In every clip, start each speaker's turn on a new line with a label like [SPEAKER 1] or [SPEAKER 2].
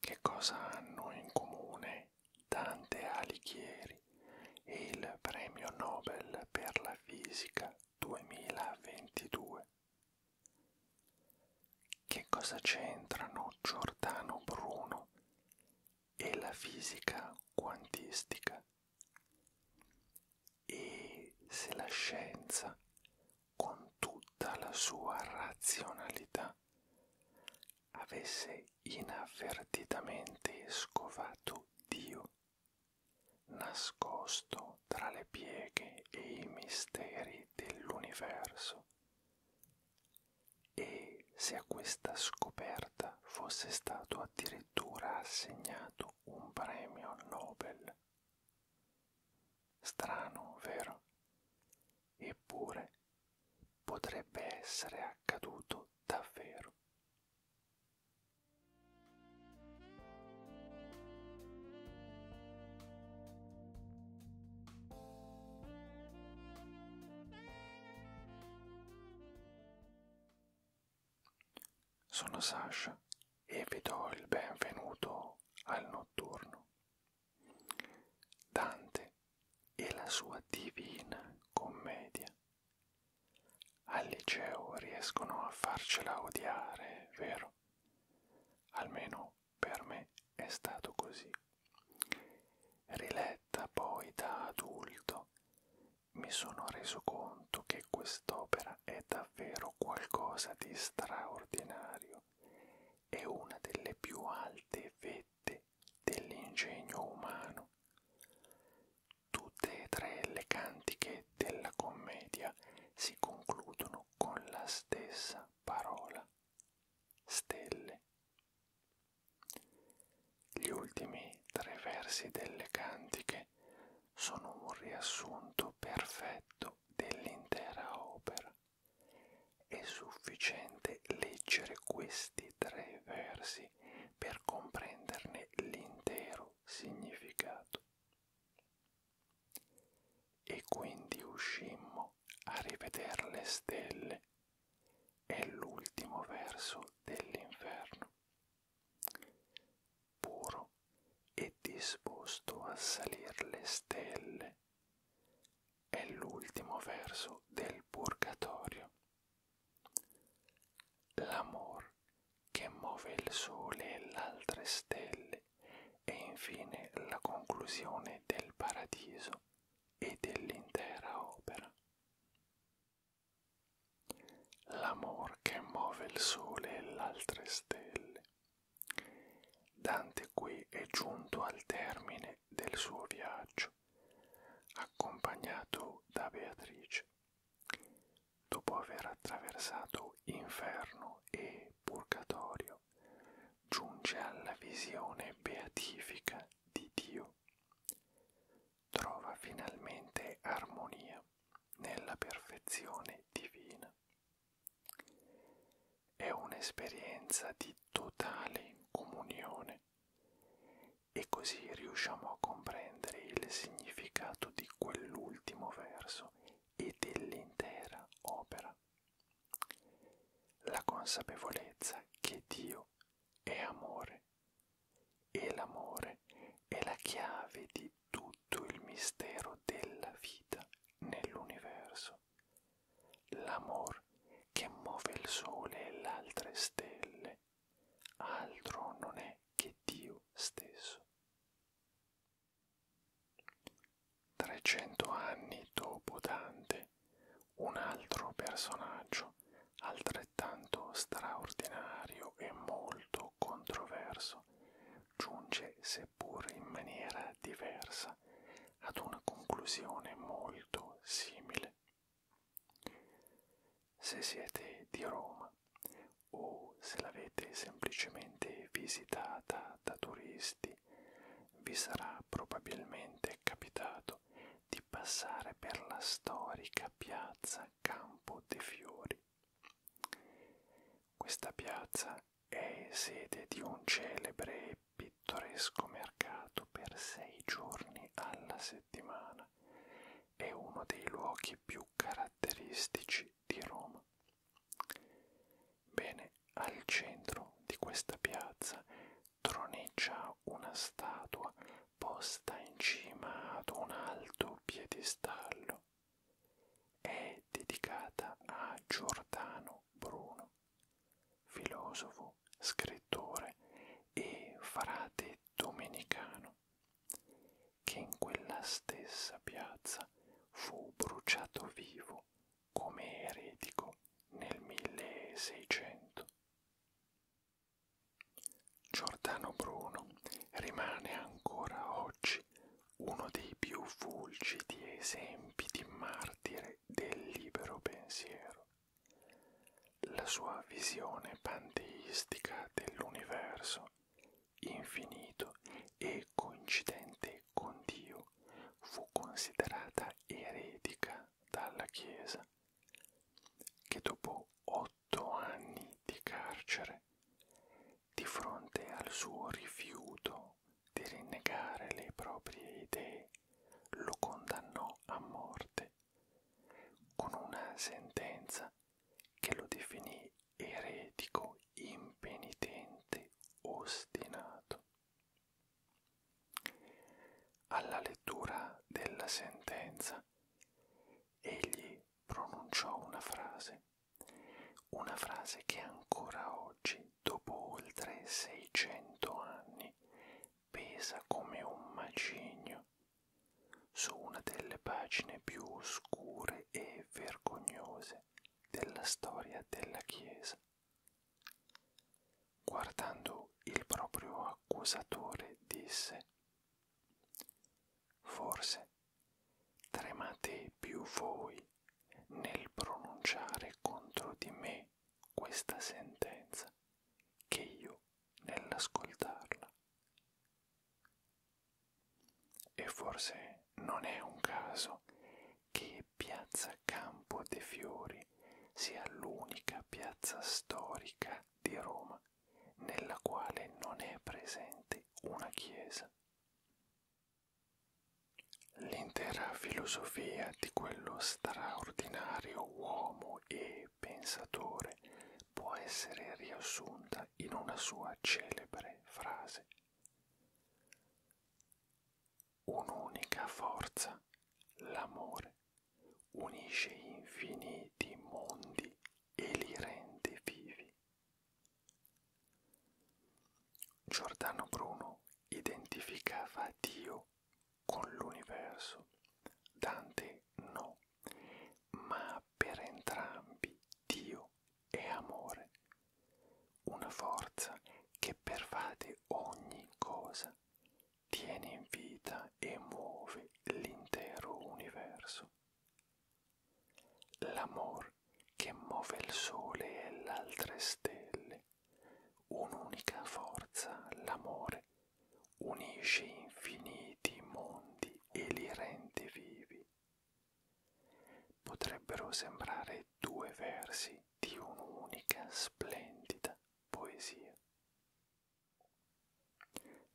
[SPEAKER 1] Che cosa hanno in comune Dante Alighieri e il premio Nobel per la fisica 2022? Che cosa c'entrano Giordano Bruno e la fisica quantistica? E se la scienza con tutta la sua razionalità avesse inavvertitamente scovato Dio, nascosto tra le pieghe e i misteri dell'universo. E se a questa scoperta fosse stato addirittura assegnato un premio Nobel. Strano, vero? Eppure potrebbe essere accaduto davvero. Sono Sasha e vi do il benvenuto al notturno. Dante e la sua divina commedia. Al liceo riescono a farcela odiare, vero? Almeno per me è stato così. Riletta poi da adulto, mi sono reso conto che quest'opera è davvero qualcosa di straordinario è una delle più alte vette dell'ingegno umano. Tutte e tre le cantiche della commedia si concludono con la stessa parola, stelle. Gli ultimi tre versi delle cantiche sono un riassunto perfetto dell'intera opera. È sufficiente leggere questi tre versi per comprenderne l'intero significato. E quindi uscimmo a riveder le stelle. È l'ultimo verso dell'inferno. Puro e disposto a salir le stelle è l'ultimo verso del purgatorio. L'amor che muove il sole e le altre stelle e infine la conclusione del paradiso e dell'intera opera. L'amor che muove il sole e le altre stelle Dante qui è giunto al termine del suo viaggio, accompagnato da Beatrice. Dopo aver attraversato inferno e purgatorio, giunge alla visione beatifica di Dio. Trova finalmente armonia nella perfezione divina è un'esperienza di totale comunione e così riusciamo a comprendere il significato di quell'ultimo verso e dell'intera opera. La consapevolezza che Dio è amore e l'amore è la chiave di tutto il mistero della vita nell'universo l'amor che muove il sole e l'altre stelle, altro non è che Dio stesso. 300 anni dopo Dante, un altro personaggio altrettanto straordinario e molto controverso giunge seppur in maniera diversa arriva ad una conclusione molto simile. Se siete di Roma o se l'avete semplicemente visitata da turisti, vi sarà probabilmente capitato di passare per la storica piazza Campo dei Fiori. Questa piazza è sede di un celebre e pittoresco mercato per sei giorni alla settimana è uno dei luoghi più caratteristici di Roma. Bene, al centro di questa piazza troneggia una statua posta in cima ad un alto piedistallo. È dedicata a Giordano Antonio Bruno, filosofo, scrittore e frate domenicano, che in quella stessa piazza fu bruciato vivo come eretico nel 1600. Giordano Bruno rimane ancora oggi uno dei più fulgidi esempi di mare martire del libero pensiero. La sua visione panteistica dell'universo, infinito e coincidente con Dio, fu considerata eretica dalla Chiesa, che dopo otto anni di carcere, di fronte al suo rifiuto di rinnegare le proprie idee, lo condannò a morte con una sentenza che lo definì eretico impenitente ostinato. Alla lettura della sentenza egli pronunciò una frase, una frase che ancora oggi che dopo oltre 600 anni pesa come un macigno su una delle pagine più oscure e vergognose della storia della Chiesa. Guardando il proprio accusatore disse Forse tremate più voi nel pronunciare contro di me questa sentenza che io nell'ascoltarla. E forse non è un caso che Piazza Campo de Fiori sia l'unica piazza storica di Roma nella quale non è presente una chiesa. L'intera filosofia di quello straordinario uomo e pensatore può essere riassunta in una sua celebre frase. Un'unica forza, l'amore, unisce infiniti mondi e li rende vivi. Giordano Bruno identificava Dio con l'universo, Dante no, ma per entrambi Dio è amore, una forza che pervade ogni cosa, tiene in vita e muove l'intero universo. L'amor che muove il sole e l'altre stelle, Un'unica forza, l'amore, unisce infiniti mondi e li rende vivi. Potrebbero sembrare due versi di un'unica splendida poesia.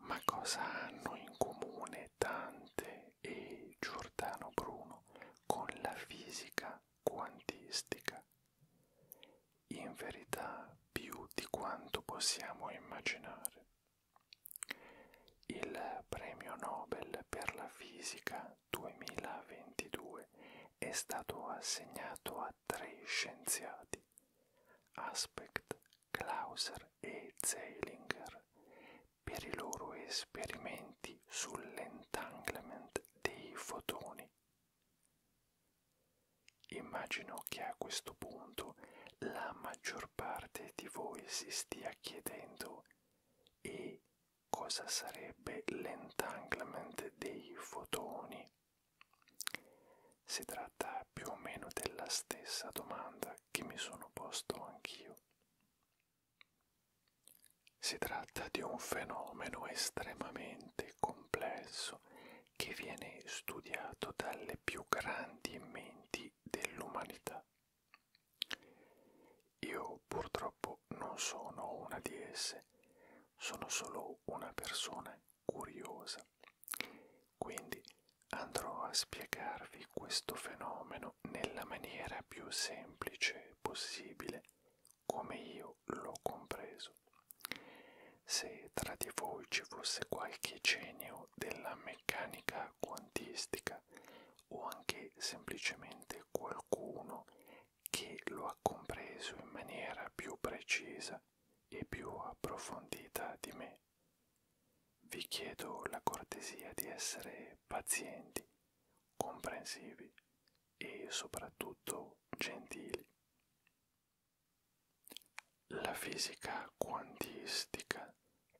[SPEAKER 1] Ma cosa hanno in comune Dante e Giordano Bruno con la fisica quantistica in verità più di quanto possiamo immaginare. Il premio Nobel per la fisica 2022 è stato assegnato a tre scienziati, Aspect, Clauser e Zeilinger, per i loro esperimenti sull'entanglement dei fotoni Immagino che a questo punto la maggior parte di voi si stia chiedendo e cosa sarebbe l'entanglement dei fotoni. Si tratta più o meno della stessa domanda che mi sono posto anch'io. Si tratta di un fenomeno estremamente complesso che viene studiato dalle più grandi menti dell'umanità. Io purtroppo non sono una di esse, sono solo una persona curiosa. Quindi andrò a spiegarvi questo fenomeno nella maniera più semplice possibile come io l'ho compreso. Se tra di voi ci fosse qualche genio della meccanica quantistica o anche semplicemente qualcuno che lo ha compreso in maniera più precisa e più approfondita di me, vi chiedo la cortesia di essere pazienti, comprensivi e soprattutto gentili. La fisica quantistica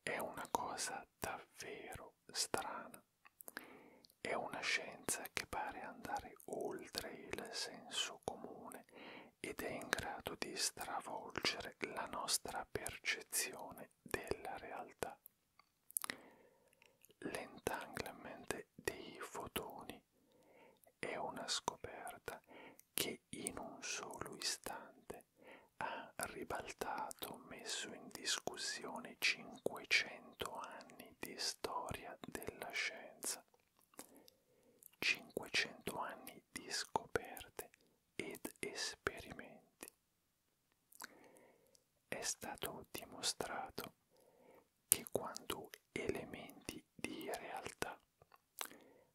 [SPEAKER 1] è una cosa davvero strana, è una scienza che pare andare oltre il senso comune ed è in grado di stravolgere la nostra percezione della realtà. L'entanglement dei fotoni è una scoperta che in un solo istante ha ribaltato, messo in discussione 500 anni di storia della scienza. 500 anni di scoperte ed esperimenti. È stato dimostrato che quanto elementi di realtà.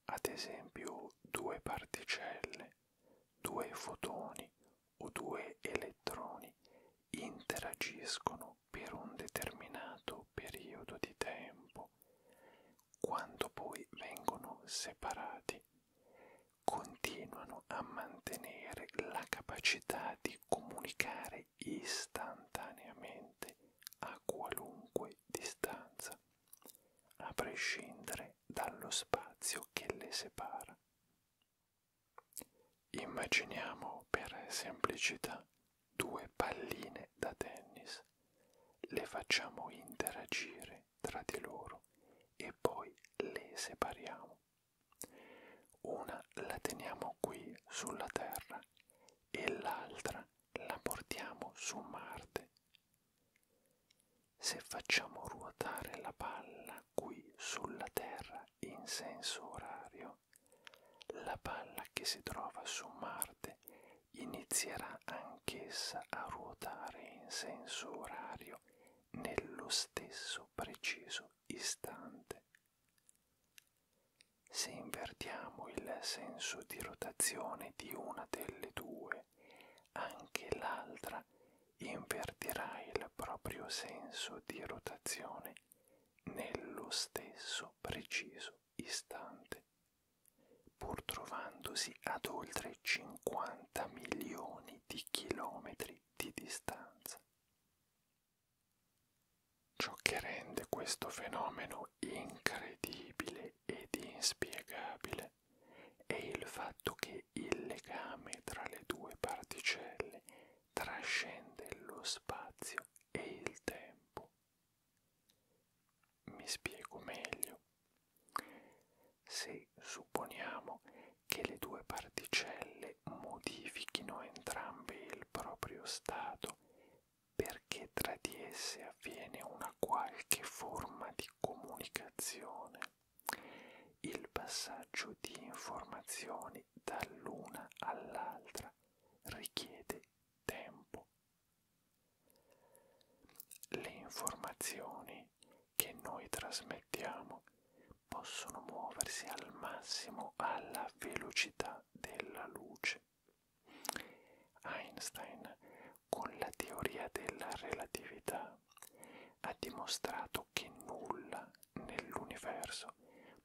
[SPEAKER 1] Ad esempio due particelle, due fotoni o due elettroni interagiscono per un determinato periodo di tempo, quando poi vengono separati, continuano a mantenere la capacità di comunicare risalire istantaneamente a qualunque distanza, a prescindere dallo spazio che le separa. Immaginiamo per semplicità due palline da tennis, le facciamo interagire tra di loro e poi le separiamo. Una la teniamo qui sulla terra e l'altra la portiamo su Marte. Se facciamo ruotare la palla qui sulla Terra in senso orario, la palla che si trova su Marte inizierà anch'essa a ruotare in senso orario nello stesso preciso istante. Se invertiamo il senso di rotazione di una delle due, anche l'altra invertirà il proprio senso di rotazione nello stesso preciso istante, pur trovandosi ad oltre 50 milioni di chilometri di distanza. Ciò che rende questo fenomeno incredibile ed inspiegabile è il fatto che il legame tra le due particelle trascende lo spazio e il tempo. Mi spiego meglio. Se supponiamo che le due particelle che modifichino entrambi il proprio stato perché tra di esse avviene una qualche forma di comunicazione. Il passaggio di informazioni dall'una all'altra richiede tempo. Le informazioni che noi trasmettiamo possono muoversi al massimo alla velocità della luce. Einstein, con la teoria della relatività, ha dimostrato che nulla nell'universo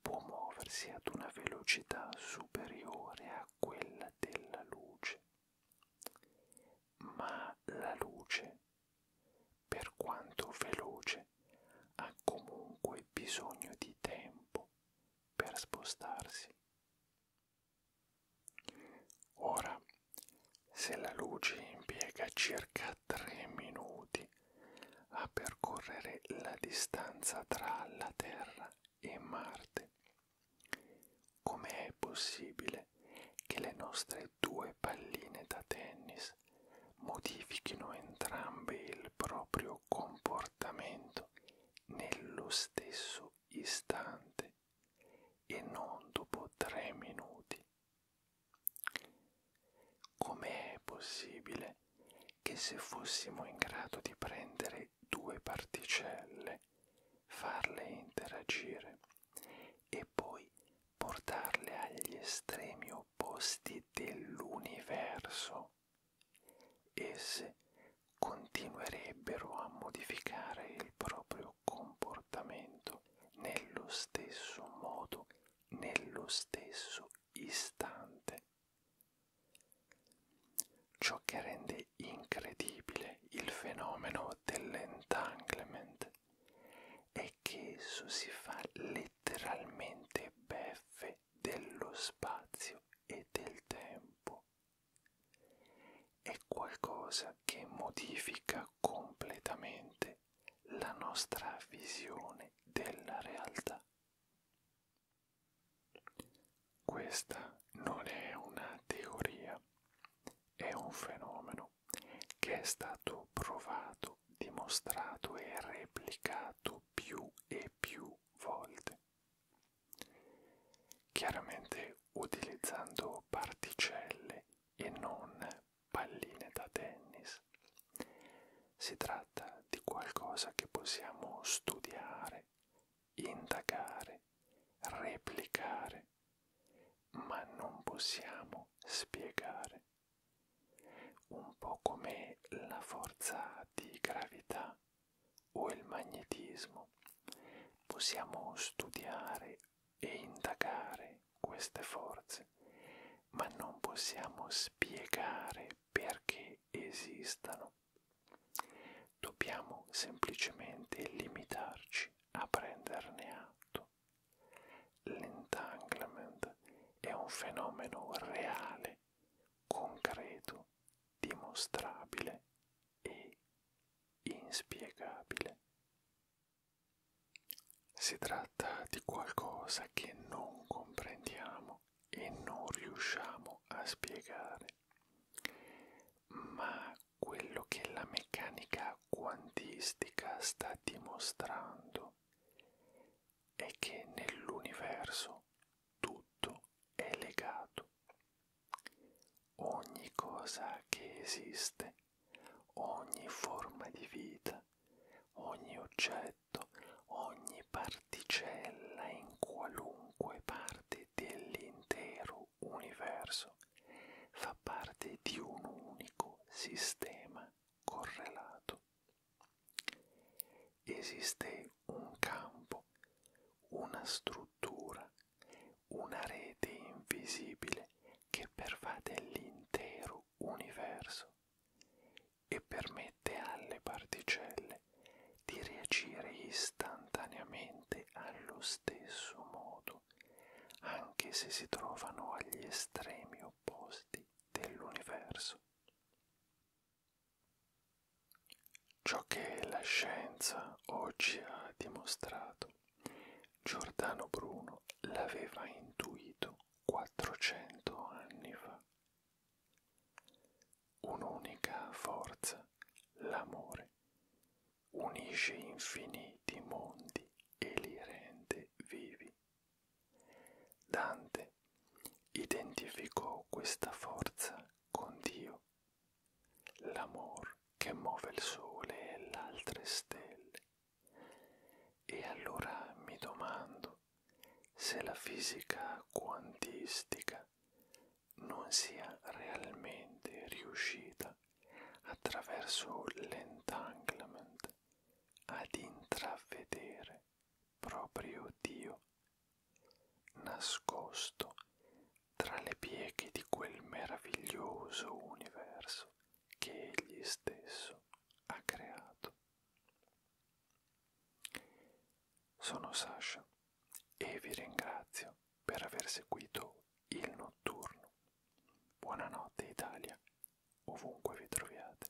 [SPEAKER 1] può muoversi ad una velocità superiore a quella della luce. Ma la luce, per quanto veloce, ha comunque bisogno di tempo per spostarsi. Ora, se la luce impiega circa 3 minuti a percorrere la distanza tra la Terra e Marte, com'è possibile che le nostre due palline da tennis modifichino entrambe il proprio proprio comportamento nello stesso istante e non dopo tre minuti. Com'è possibile che se fossimo in grado di prendere due particelle, farle interagire e poi portarle agli estremi opposti dell'universo, esse continuerebbero a modificare il proprio comportamento nello stesso modo, nello stesso istante. Ciò che rende incredibile il fenomeno dell'entanglement è che esso si fa letteralmente beffe dello spazio e del tempo. È qualcosa che modifica completamente la nostra visione della realtà. Questa non è una teoria, è un fenomeno che è stato provato, dimostrato e replicato più e più volte chiaramente utilizzando particelle e non palline da tennis. Si tratta di qualcosa che possiamo studiare, indagare, replicare, ma non possiamo spiegare. Un po' come la forza di gravità o il magnetismo, possiamo studiare e indagare queste forze, ma non possiamo spiegare perché esistano. Dobbiamo semplicemente limitarci a prenderne atto. L'entanglement è un fenomeno reale, concreto dimostrabile e inspiegabile. Si tratta di qualcosa che non comprendiamo e non riusciamo a spiegare, ma quello che la meccanica quantistica sta dimostrando è che nell'universo tutto è legato. Ogni cosa che esiste, ogni forma di vita, ogni oggetto, ogni particella in qualunque parte dell'intero universo fa parte di un unico sistema correlato. Esiste un campo, una struttura, una rete invisibile che pervade l'intero universo e permette alle particelle di reagire istantaneamente allo stesso modo, anche se si trovano agli estremi opposti dell'universo. Ciò che la scienza oggi ha dimostrato, Giordano Bruno l'aveva intuito 400 anni fa. Un'unica forza, l'amore, unisce infiniti mondi e li rende vivi. Dante identificò questa forza con Dio, l'amor che muove il sole e le altre stelle. E allora mi domando se la fisica quantistica non sia realmente riuscita attraverso l'entanglement ad intravedere proprio Dio nascosto tra le pieghe di quel meraviglioso universo che egli stesso ha creato. Sono Sasha e vi ringrazio per aver seguito il notturno. Buonanotte Italia, ovunque vi troviate.